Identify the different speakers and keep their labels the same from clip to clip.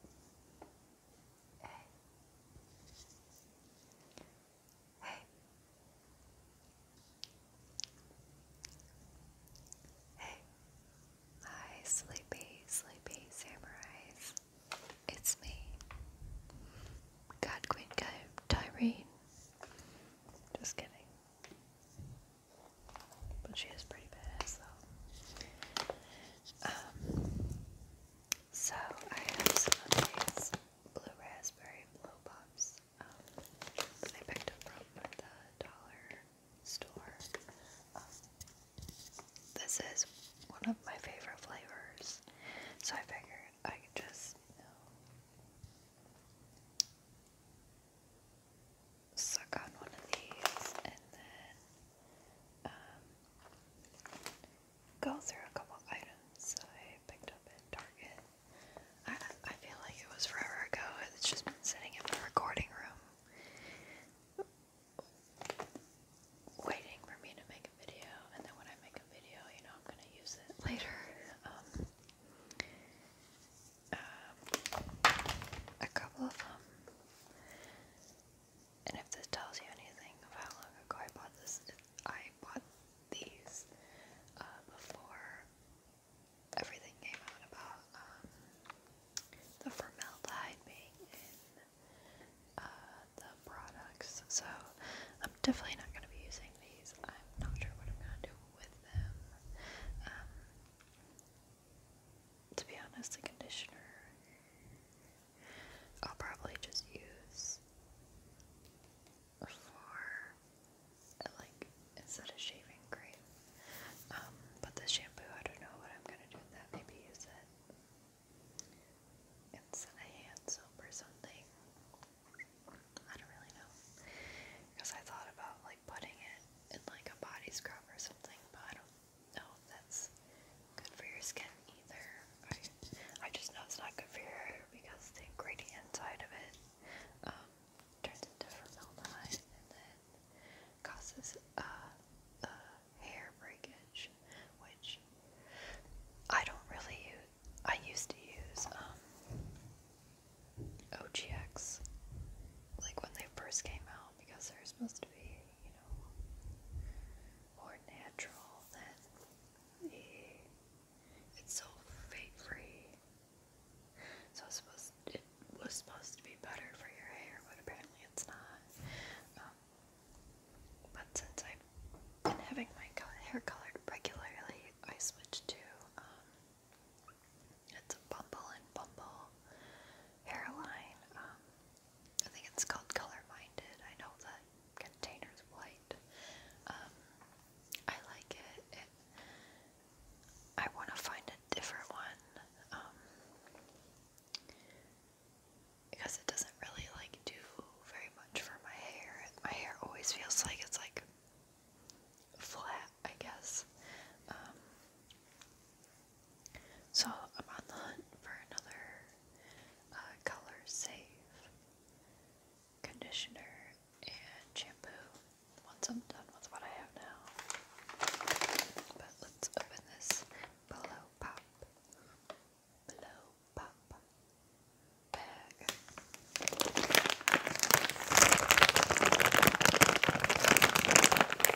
Speaker 1: Hey. Hey. Hey. Hi, sleepy, sleepy samurais. It's me. God Queen Tyrene. Just kidding. But she is pretty badass though so I have some of these blue raspberry blow pops um, I picked up from the dollar store. Um, this is one of my favorite flavors, so I figured I could just, suck on one of these and then um, go through a couple items I picked up at Target. I, feel like it was forever ago. It's just been sitting in my recording room waiting for me to make a video, and then when I make a video, you know, I'm gonna use it later. Um, um, a couple of them and if this tells you anything of how long ago I bought this, I bought these uh, before everything came out about um, the formaldehyde being in uh, the products. So I'm definitely not going to be using these. I'm not sure what I'm going to do with them. Um, to be honest, the conditioner I'll probably just use for like instead of shaving cream. Um, but the shampoo, I don't know what I'm gonna do with that. Maybe use it instead of hand soap or something. I don't really know. Because I thought about like putting it in like a body scrub or something, but I don't know if that's good for your skin either. I, I just know it's not good for your hair because the ingredient inside of it um, turns into formaldehyde and then causes uh, uh, hair breakage, which I don't really use. I used to use um, OGX like when they first came out because they're supposed to be you know, more natural than the, it's so fake free. So supposed, it was supposed to be better for your hair, but apparently it's not. Um, but since I've been having my hair colored regularly, I switched to, um, it's Bumble and Bumble hairline. Um, I think it's called Color Minded. I know that is white. Um, I like it. I want to find a different one um, because it doesn't really like do very much for my hair. My hair always feels like it's like flat, I guess. Um, so I'm on the hunt for another uh, color safe conditioner and shampoo once I'm done with what I have now. But let's open this Blow Pop, Blow Pop bag. And that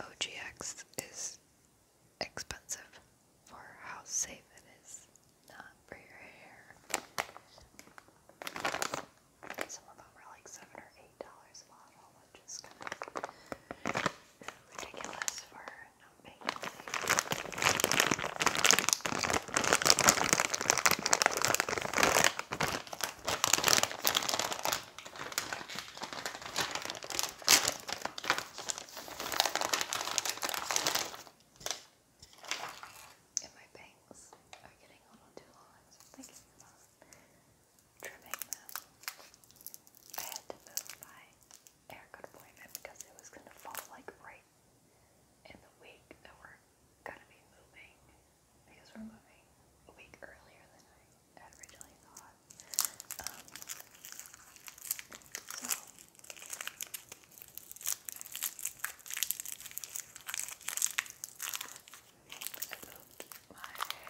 Speaker 1: OGX is expensive for how safe it is, not for your hair. Some of them are like seven or eight dollars a bottle, which is kind of ridiculous for not paying And my bangs are getting a little too long, so I'm thinking about trimming them. I had to move my haircut appointment because it was gonna fall like right in the week that we're gonna be moving because we're moving a week earlier than I originally thought. Um, so I moved my hair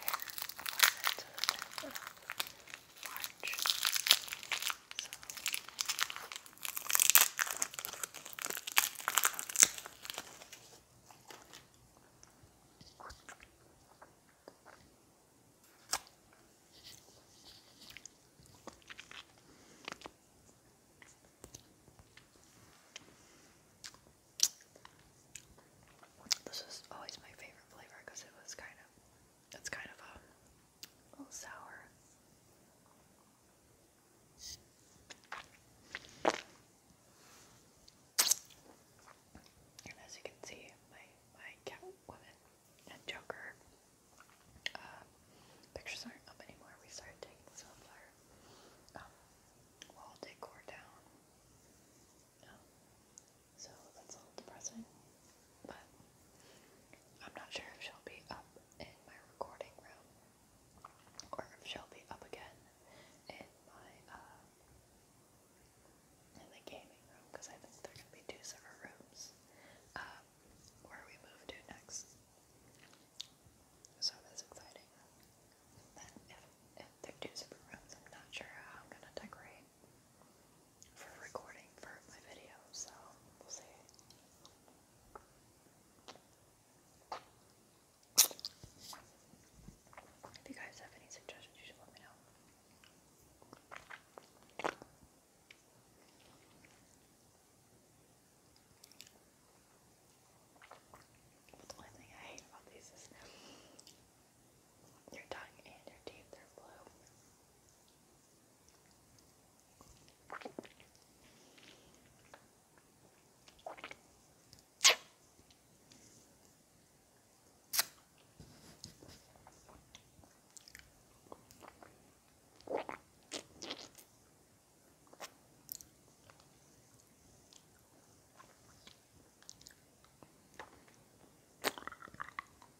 Speaker 1: March. So. This is always my favorite flavor because it was kind of, it's kind of a um, a little And as you can see, my my Catwoman and Joker uh, pictures aren't up anymore. We started taking sunflower um, wall decor down. Um, so that's a little depressing. But I'm not sure if she'll be up in my recording room or if she'll be up again in my uh, in the gaming room because I think they're gonna be two separate rooms. Um, where we move to next. So that's exciting. Then if, if they're two separate rooms, I'm not sure how I'm gonna decorate for recording for my video, so we'll see. If you guys have any suggestions, you should let me know. But the only thing I hate about these is your tongue and your teeth are blue.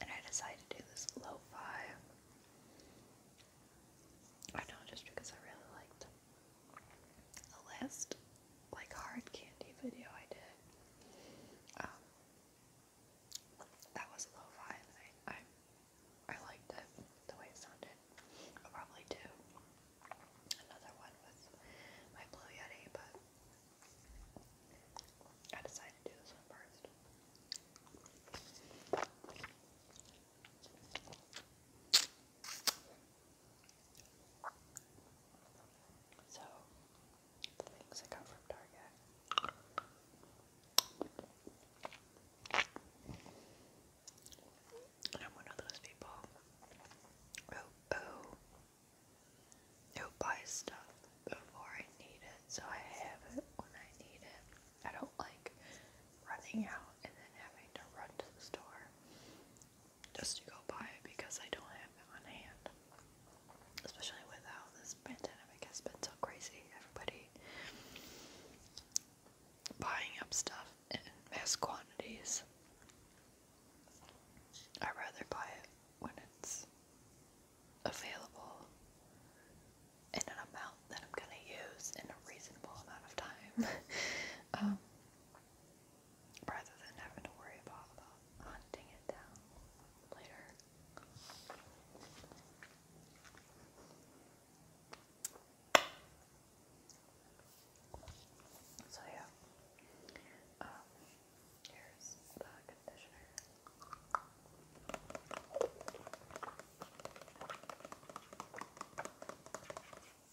Speaker 1: And I decided to do this low five. I know just because I really liked a last like hard candy video I did. Um, that was lo-fi I, I, liked it, the way it sounded. I'll probably do another one with my Blue but I decided to do this one first. So, the things I got from Target. And I'm one of those people who, who, who buys stuff before I need it, so I have it when I need it. I don't like running out and then having to run to the store just to go buy it because I don't have it on hand. Especially with how this pandemic has been so crazy. Everybody buying up stuff in mass quantities. I'd rather buy it when it's available in an amount that I'm going to use in a reasonable amount of time. Um, rather than having to worry about, about hunting it down later. So yeah, um, here's the conditioner.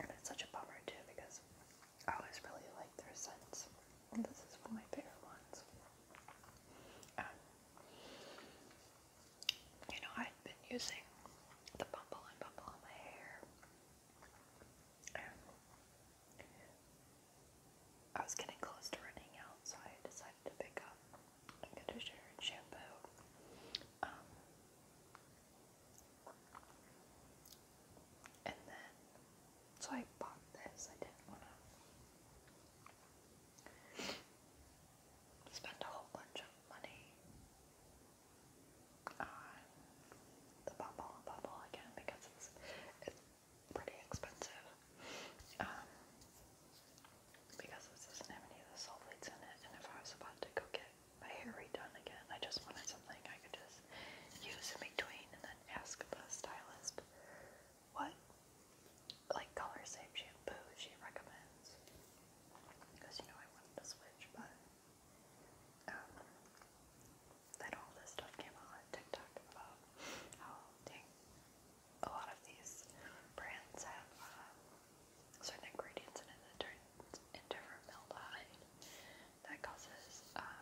Speaker 1: And it's such a bummer too because I always really like their scents. And this is one of my favorite ones. Um, you know, I've been using the Bumble and Bumble on my hair I was getting close to running out, so I decided to pick up a conditioner and shampoo. Um, and then, so I bought this. I didn't want to spend a whole bunch of money the bubble and bubble again because it's, it's pretty expensive. Um, because this doesn't have any sulfates in it, and if I was about to go get my hair redone again, I just wanted something I could just use in between and then ask the stylist what like color save shampoo she recommends. Because you know I wanted to switch, but um, then all this stuff came out on TikTok about how a lot of these brands have um, certain ingredients in it that turns into formaldehyde that causes um,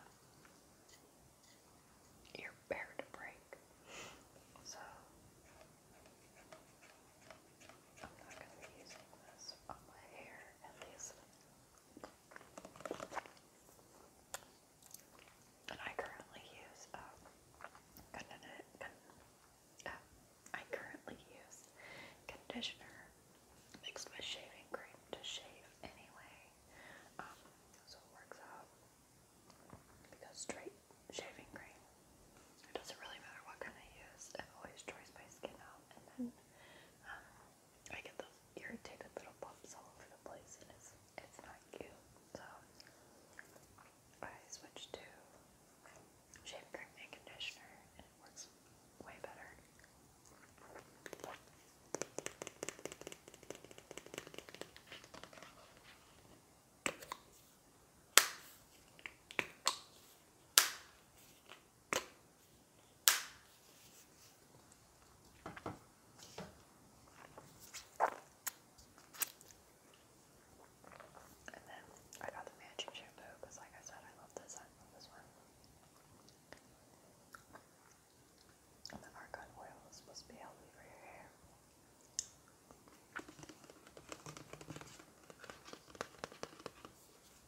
Speaker 1: your hair to break. So I'm not going to be using this on my hair, at least I currently use, um, uh, use conditioner mixed with shaving cream to shave anyway. Um, so it works out because straight shaving cream, it doesn't really matter what kind I use, it always dries my skin out I get those irritated little bumps all over the place, and it's it's not cute. So I switched to shave and conditioner, and it works way better. And then I got the matching shampoo because, like I said, I love this. I love this one. And the argan oil is supposed to be healthy for your hair.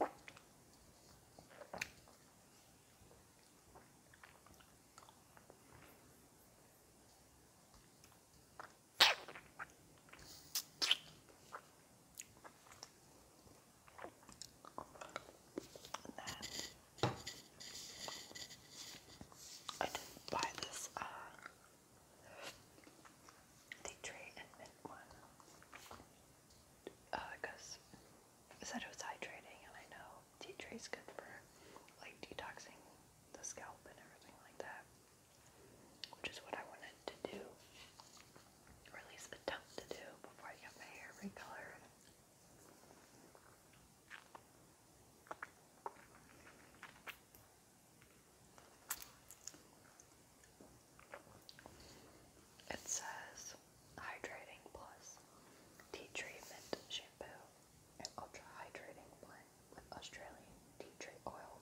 Speaker 1: I didn't buy this uh, the tray and mint one because uh, said it was hydrating and I know tea tree is good for like detoxing the scalp and everything like that which is what I wanted to do or at least attempt to do before I got my hair recolored it says hydrating plus tea treatment shampoo and ultra hydrating blend with Australian tea tree oil,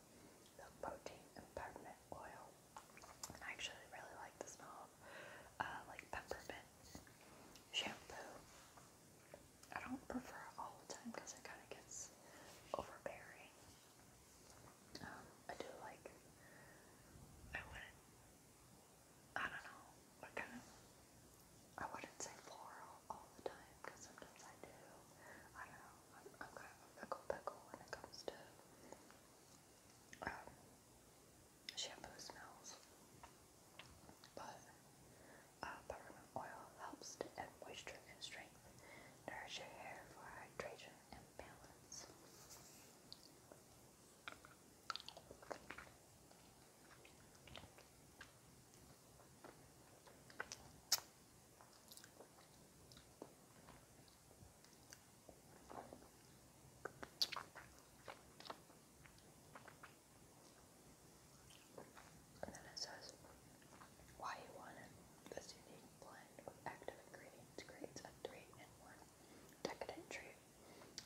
Speaker 1: milk protein, and peppermint oil. I actually really like the smell of uh, like peppermint shampoo. I don't prefer it all the time because it kind of gets overbearing. Um, I do like, I wouldn't, I don't know, what kind of, I wouldn't say floral all the time, because sometimes I do, I don't know, I'm, kind of a pickle pickle when it comes to, um, shampoo smells, but, uh, peppermint oil helps to add moisture and strength, nourish your hair for hydration balance. And then it says why you want it. This unique blend of active ingredients creates a three-in-one decadent treat.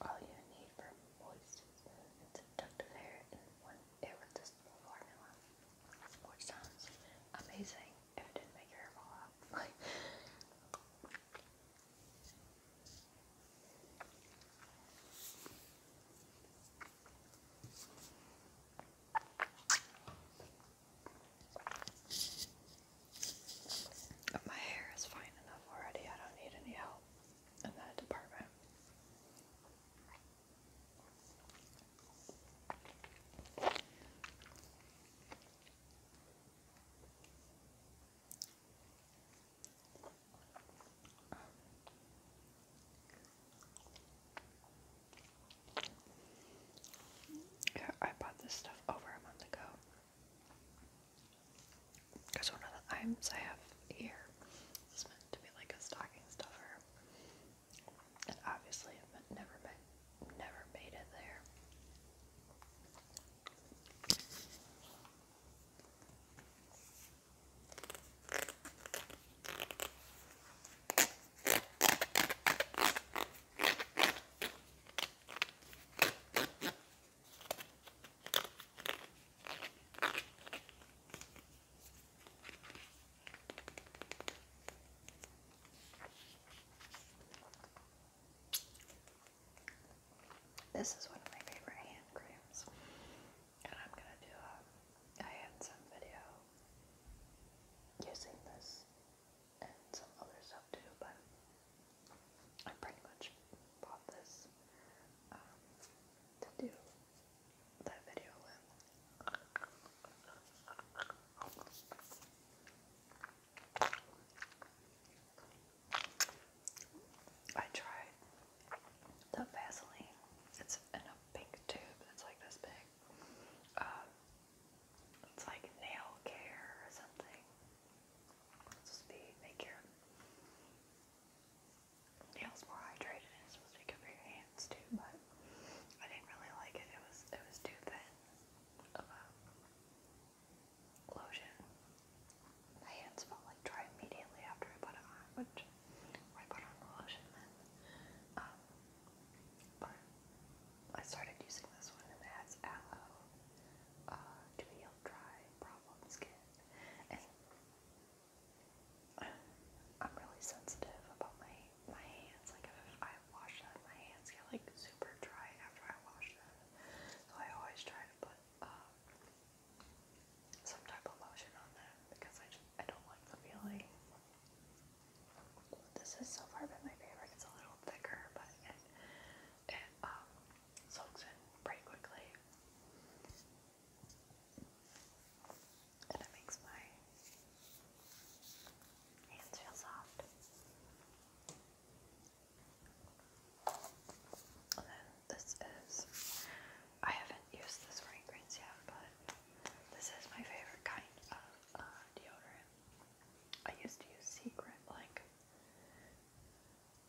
Speaker 1: All you need for moist and seductive hair in one irresistible formula. Which sounds amazing if it didn't make your hair fall out. Like But my hair is fine enough already, I don't need any help in that department. Yeah, I bought this stuff over a month ago. Because one of the items I have here is meant to be like a stocking stuffer. And obviously i never made, never made it there. This is one of my favorite hand creams, and I'm gonna do a. I had some video using this and some other stuff too, but I pretty much bought this um, to do that video with. I tried the Vaseline. It's in a pink tube. It's like this big. Um, it's like nail care or something. It's supposed to be make your nails more hydrated it's supposed to be good for your hands too, but I didn't really like it. It was it was too thin lotion. My hands felt like dry immediately after I put it on, which I put on the lotion then. Um, I started using this one and it has aloe uh, to heal dry, problem skin. And I'm really sensitive about my my hands. Like if I wash them, my hands get like super dry after I wash them. So I always try to put um, some type of lotion on them because I just I don't like the feeling. This has so far been my favorite. It's a little thicker, but it, it um, soaks in pretty quickly. And it makes my hands feel soft. And then this is, I haven't used this fragrance yet, but this is my favorite kind of uh, deodorant. I used to use Secret like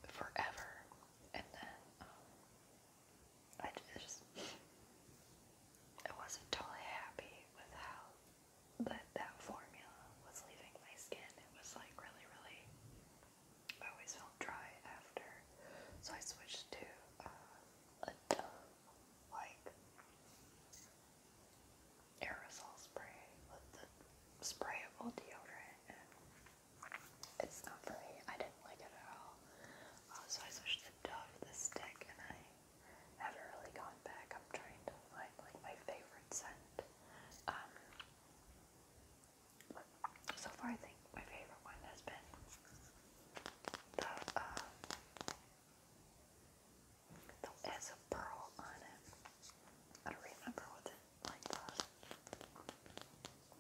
Speaker 1: forever, and then um, I just I wasn't totally happy with how that that formula was leaving my skin. It was like really, really. I always felt dry after, so I switched to uh, a Dove like aerosol spray the sprayable deodorant, and it's not for me. I didn't like it at all. Uh, so I switched to Dove, the stick, and I haven't really gone back. I'm trying to find like my favorite scent. Um, so far, I think my favorite one has been the uh, Though has a pearl on it. I don't remember what the like the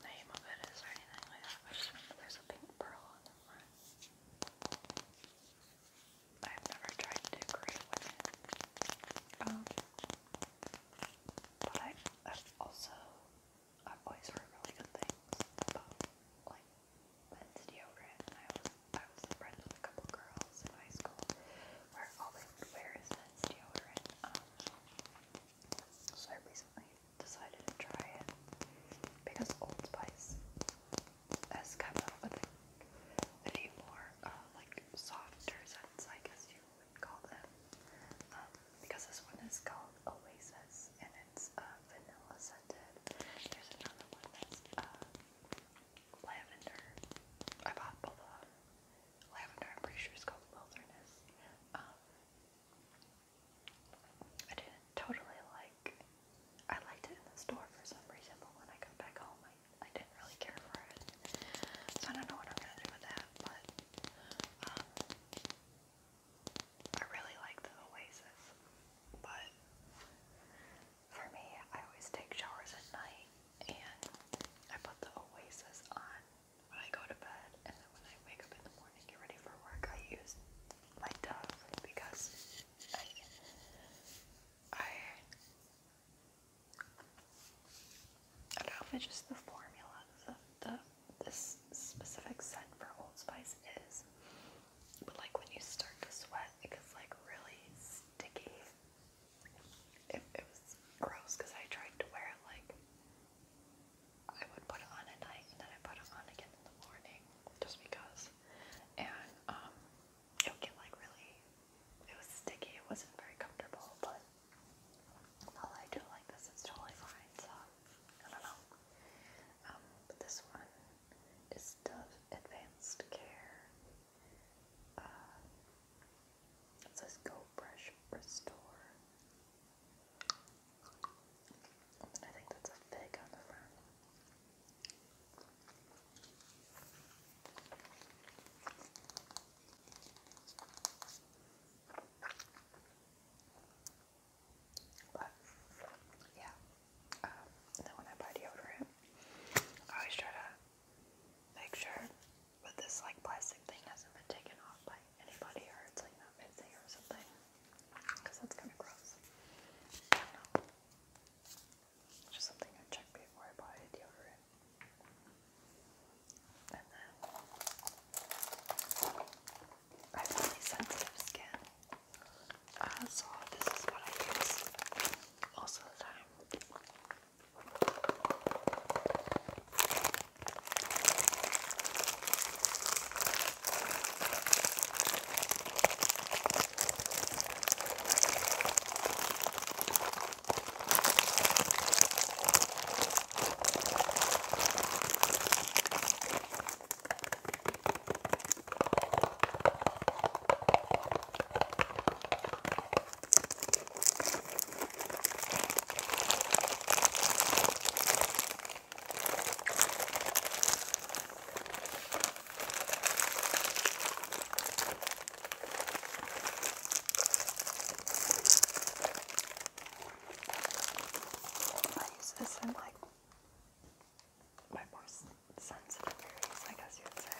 Speaker 1: name of it is or anything like that. I just remember there's a pink pearl on the front. I've never tried to decorate with it. Um, but I, I've also I've always heard really good things about like men's deodorant. And I was I was friends with a couple girls in high school where all they would wear is men's deodorant. Um, so I recently decided to try it because Old Spice has come out with a, a more uh, like softer scents, I guess you would call them. Um, because this one is called Oasis and it's uh, vanilla scented. There's another one that's uh, lavender. I bought both of them. Lavender, I'm pretty sure it's called Wilderness. Um, I didn't totally like. I liked it in the store for some reason, but when I got back home, I, didn't really care for it. So I don't know what I'm gonna do with that, but um, I really like the Oasis, but for me, I always take showers at night and I put the Oasis on when I go to bed, and then when I wake up in the morning, get ready for work, I use my Dove because I. I don't know if it's just the formula, the, the this specific scent for Old Spice is, but like when you start to sweat, it gets like really sticky. It, was gross because I tried to wear it like I would put it on at night and then I put it on again in the morning just because. And um, it would get like really, it was sticky. It wasn't very comfortable, but while I do like this, it's totally fine. So I don't know. Um, but this one is Dove Advanced Care. Uh, it says Go Brush Restore. And I think that's a fig on the front. But yeah, and um, then when I buy deodorant, I always try to make sure that this like plastic thing hasn't been taken off by anybody or it's like not missing or something, because that's kind of gross. Just something I check before I buy deodorant. And then I have really sensitive skin. Uh, so this is what I use most of the time. I use this in like my more sensitive areas, I guess you'd say.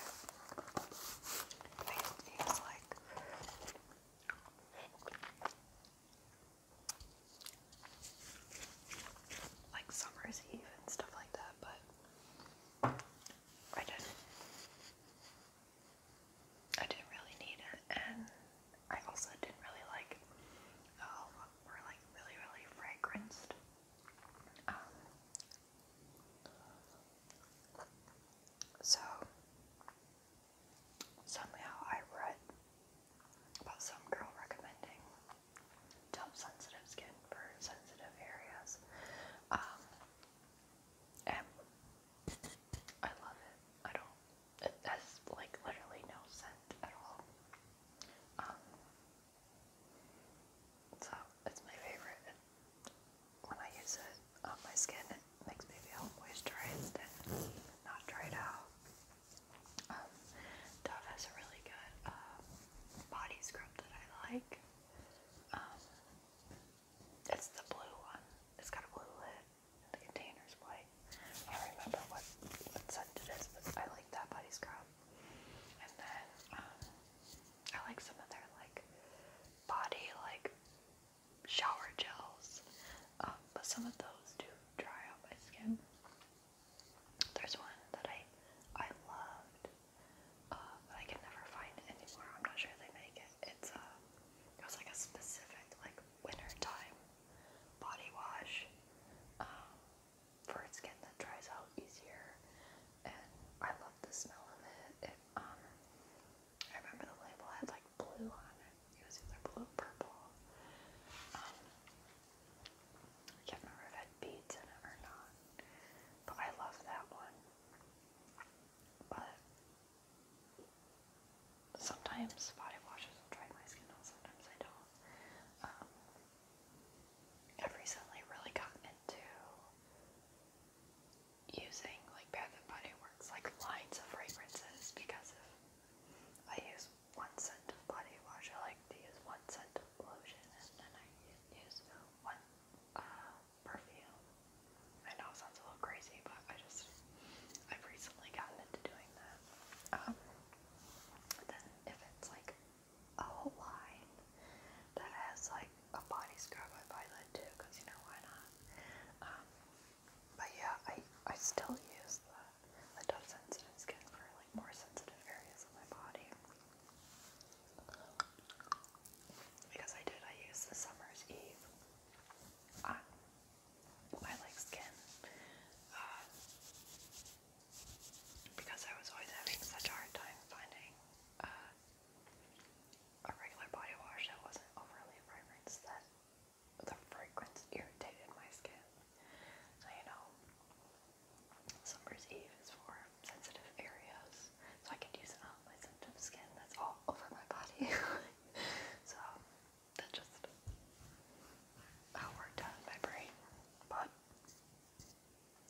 Speaker 1: They feel like like summer's eve and stuff like that, but I didn't I didn't really need it and I also didn't really like how oh, or like really, really fragranced. Um, so somehow I read about some girl recommending top sensitive skin for sensitive areas. Um, and I love it. I don't. It has like literally no scent at all. Um, so it's my favorite. when I use it on my skin, it makes me feel moisturized and not dried out. Um, Dove has a really good um, body scrub that I like. Um, it's the blue one. It's got a blue lid. The container's white. I remember what, what scent it is, I like that body scrub. Um, I like some of their like body like shower gels, um, but some of those do dry out my skin. There's one that I I loved, but um, I can never find it anymore. I'm not sure they make it. It's a it was like a specific like winter time body wash for skin that dries out easier, and I love the smell of it. It um, I remember the label had like blue on it. It was either blue purple. Um, I can't remember if it had beads in it or not, but I love that one. But sometimes body washes will dry my skin out, sometimes I don't. Um, I've recently really gotten into using like Bath and Body Works like lines of fragrances because if I use one scent of body wash, I like to use one scent of lotion, and then I use one uh, perfume. I know it sounds a little crazy, but I just I've recently gotten into doing that. Um, then if it's like a whole line that has like a body scrub, I buy that because you know why not. Um, but yeah, I I still use the Dove Sensitive Skin for like more sensitive areas of my body. Because I did, I used the Summer's Eve on my like skin. Uh, because I was always having such a hard time finding uh, a regular body wash that wasn't overly fragrance that the fragrance irritated my skin. you know, summer's eve is for sensitive areas, so I could use it on my sensitive skin that's all over my body. so that's just how uh, my brain but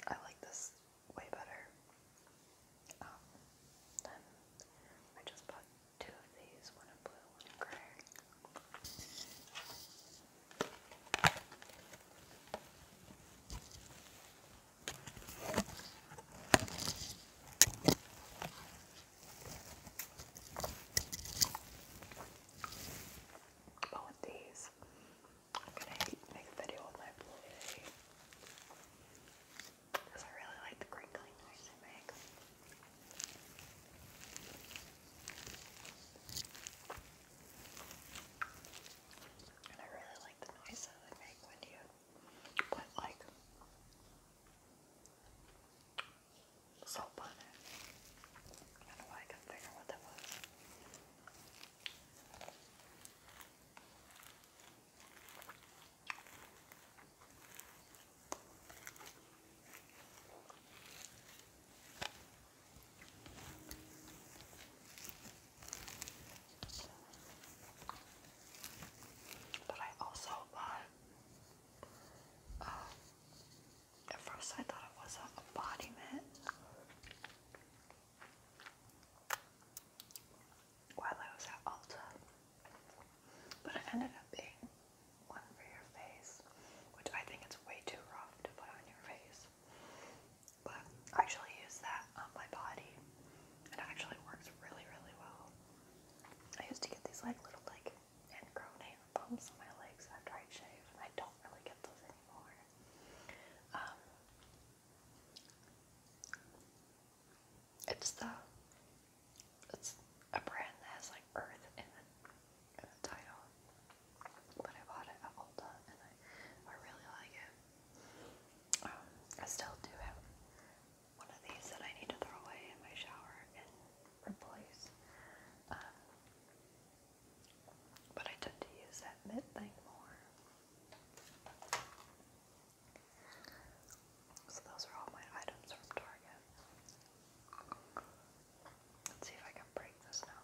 Speaker 1: I like this way better. Um, then I just bought two of these, one in blue, one in gray. But oh, with these, I'm gonna make a video with my boy because I really like the crinkling noise they make. And I really like the noise that they when you put like so on I don't know why I couldn't figure what that was. But I also bought um, at first I thought it was a body mitt. While I was at Ulta. But it ended up being one for your face, which I think it's way too rough to put on your face. But I actually use that on my body. It actually works really, really well. I used to get these like little like and hair bumps on my legs after I shave, I don't really get those anymore. Um, it's the it's a brand that has like Earth in the, in the title, but I bought it at Ulta and I really like it. Um, I still do have one of these that I need to throw away in my shower and replace. Um, but I tend to use that mid thing more. So those are all my items from Target. Let's see if I can break this now.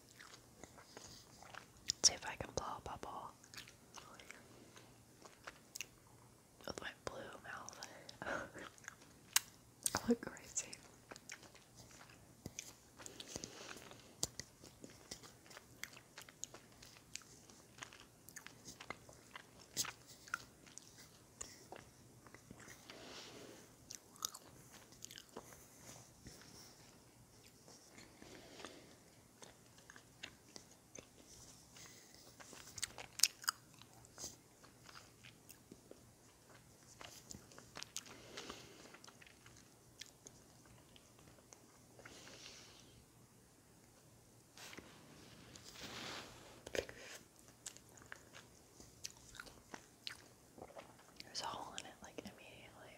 Speaker 1: Let's see if I can blow a bubble with my blue mouth. I look crazy. There's a hole in it like immediately.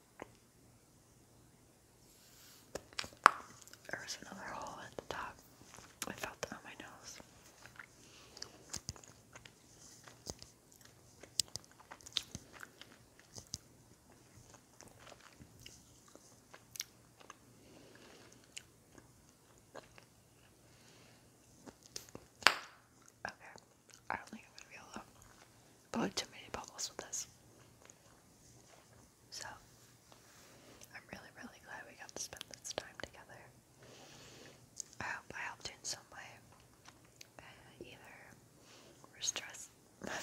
Speaker 1: There was another hole at the top. I felt that on my nose. Okay. I don't think I'm gonna be able to put too many bubbles with this. So, I'm really, really glad we got to spend this time together. I hope I helped in some way. Uh, either stress,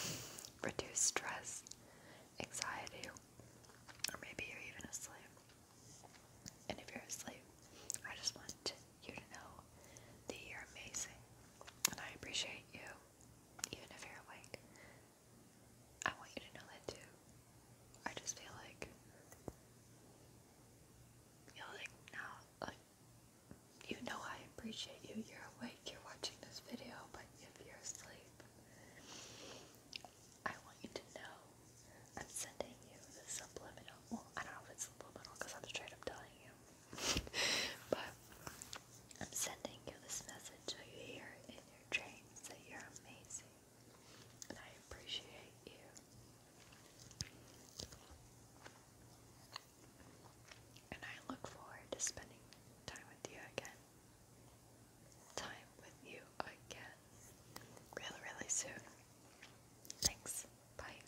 Speaker 1: reduce stress, anxiety, or maybe you're even asleep. And if you're asleep, I just want you to know that you're amazing. And I appreciate you even if you're awake. I want you to know that too. I just feel like you now, like you know I appreciate you. You're awake. You're watching this video, but if you're asleep, I want you to know I'm sending you the subliminal. Well, I don't know if it's subliminal because I'm straight up telling you. but I'm sending you this message so you hear it in your dreams that you're amazing and I appreciate you. And I look forward to spending time with you again. Time with you again. Really, really soon. Thanks. Bye.